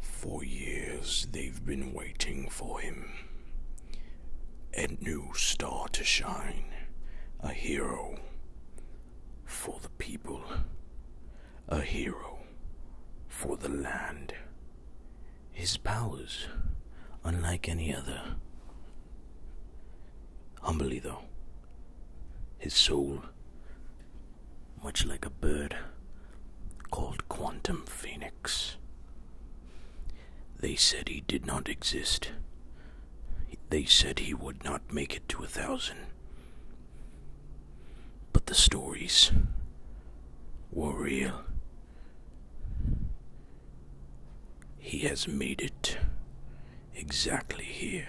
For years they've been waiting for him. A new star to shine, a hero for the people, a hero for the land. His powers, unlike any other. Humbly, though, his soul much like a bird called Quantum Phoenix. They said he did not exist. They said he would not make it to a thousand. But the stories were real. He has made it exactly here.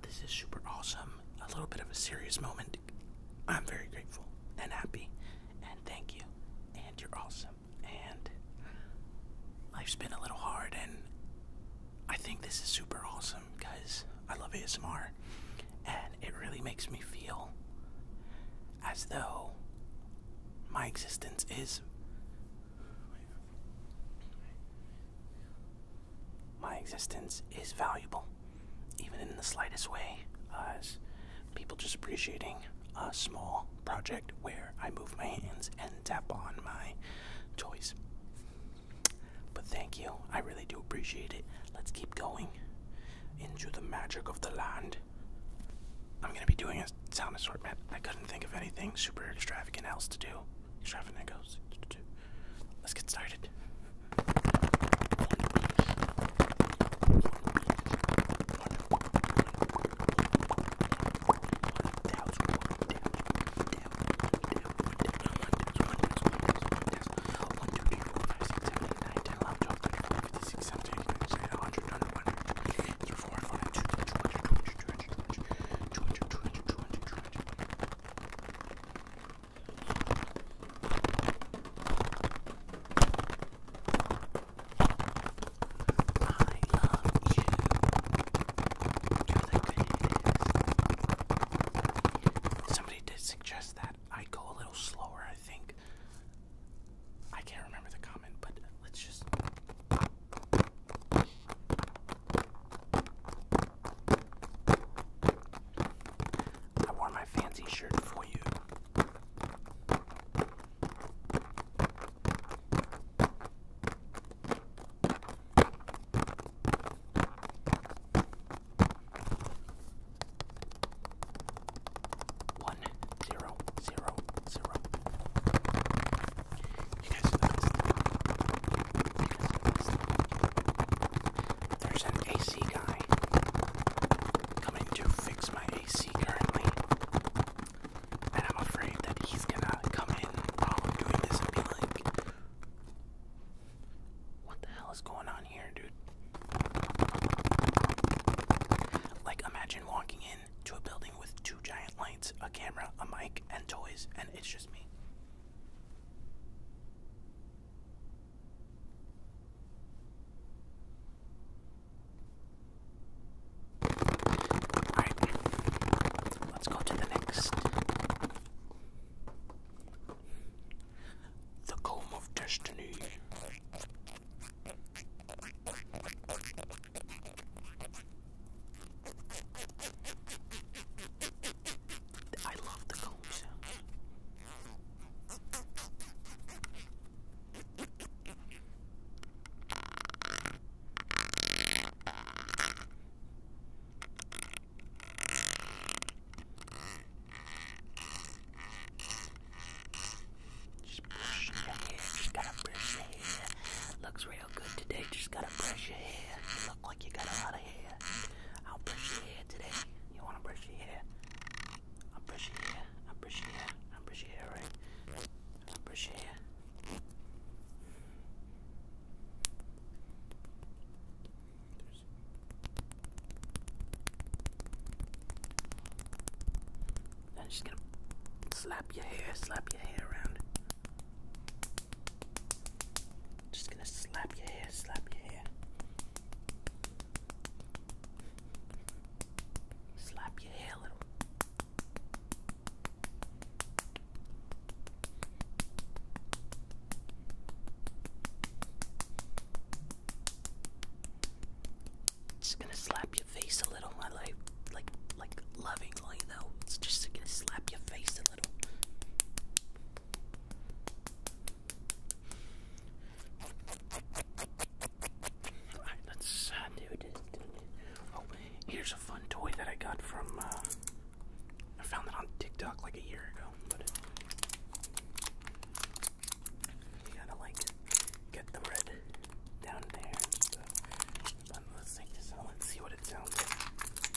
Ah, this is super awesome. A little bit of a serious moment. I'm very grateful and happy, and thank you. And you're awesome. And life's been a little hard, and I think this is super awesome because I love ASMR, and it really makes me feel as though my existence is my existence is valuable, even in the slightest way, as people just appreciating a small project where I move my hands and tap on my choice. But thank you, I really do appreciate it. Let's keep going into the magic of the land. I'm gonna be doing a sound assortment. I couldn't think of anything super extravagant else to do extravagant goes. Let's get started. Somebody did suggest that I go a little slower, I think. I can't remember the comment, but let's just. I wore my fancy shirt for you. One zero zero zero there's an AC guy coming to fix my AC currently. And I'm afraid that he's gonna come in while we're doing this and be like, What the hell is going on here, dude? Like, imagine walking in to a building with two giant lights, a camera, a mic, and toys, and it's just me. Alright, let's go to the next. The Comb of Destiny. I love the comb sound. Just brush your hair, just gotta brush your hair. Looks real good today, just gotta brush your hair. You look like you got a lot out of here. I'll brush your hair today. You wanna brush your hair? I'll brush your hair. I'll brush your hair. I'll brush your hair, right? I'll brush your hair. There's and she's gonna slap your hair, slap your hair around just gonna slap your hair, slap your hair. Slap your hair a little. Just gonna slap your face a little, my life, like, like lovingly though. just to slap your face a little. Alright, let's uh, do this. Oh, here's a fun toy that I got from. Uh, I found it on TikTok like a year ago. you gotta like get the red down there let's take this Let's see what it sounds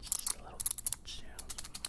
Just a little chill. All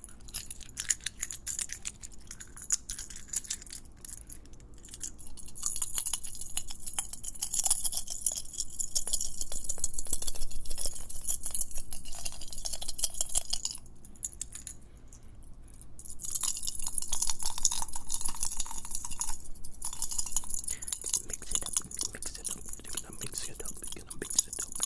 Mix it up, mix it up, mix it up, mix it up, mix it up,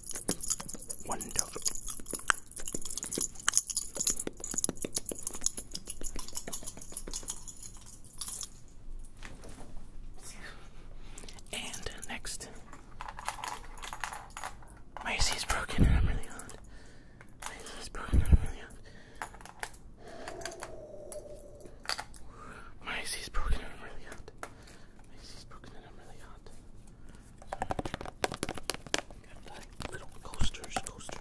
Wonderful. And next, my AC is broken I'm really on. My AC is broken I'm really on. My AC is broken I'm really hot. My AC is broken little coasters, coasters.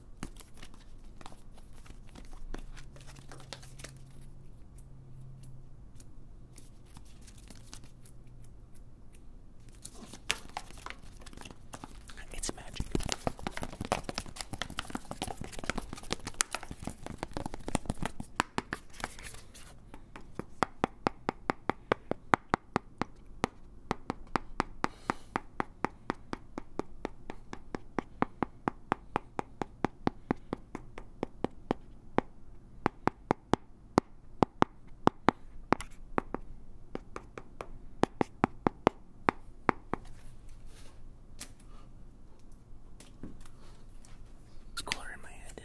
It's magic. It's in my head.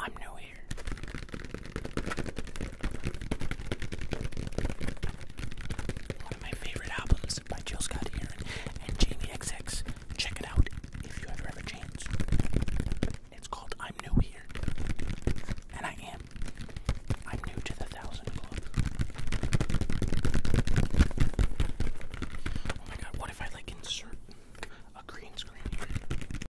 I'm new here. One of my favorite albums by Jill Scott and Jamie XX. Check it out if you ever have a chance. It's called I'm New Here. And I am. I'm new to the Thousand Club. Oh my god, what if I like insert a green screen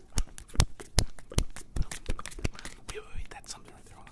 Wait, wait, wait, that's something right there. Hold on.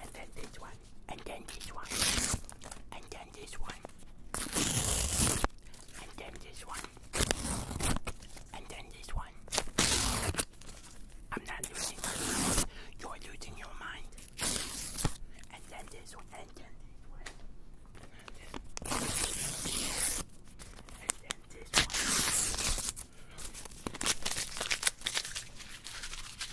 and then this one, and then this one, and then this one, and then this one, and then this one. I'm not losing my mind, you're losing your mind. And then this one, and then this one, and then this one.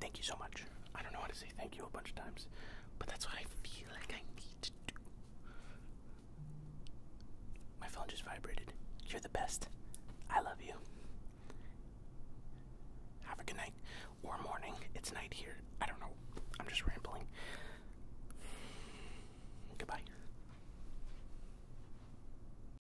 Thank you so much. I don't know how to say thank you a bunch of times, but that's what I feel like I need to do. My phone just vibrated. You're the best. I love you. Have a good night or morning. It's night here. I don't know. I'm just rambling. Goodbye.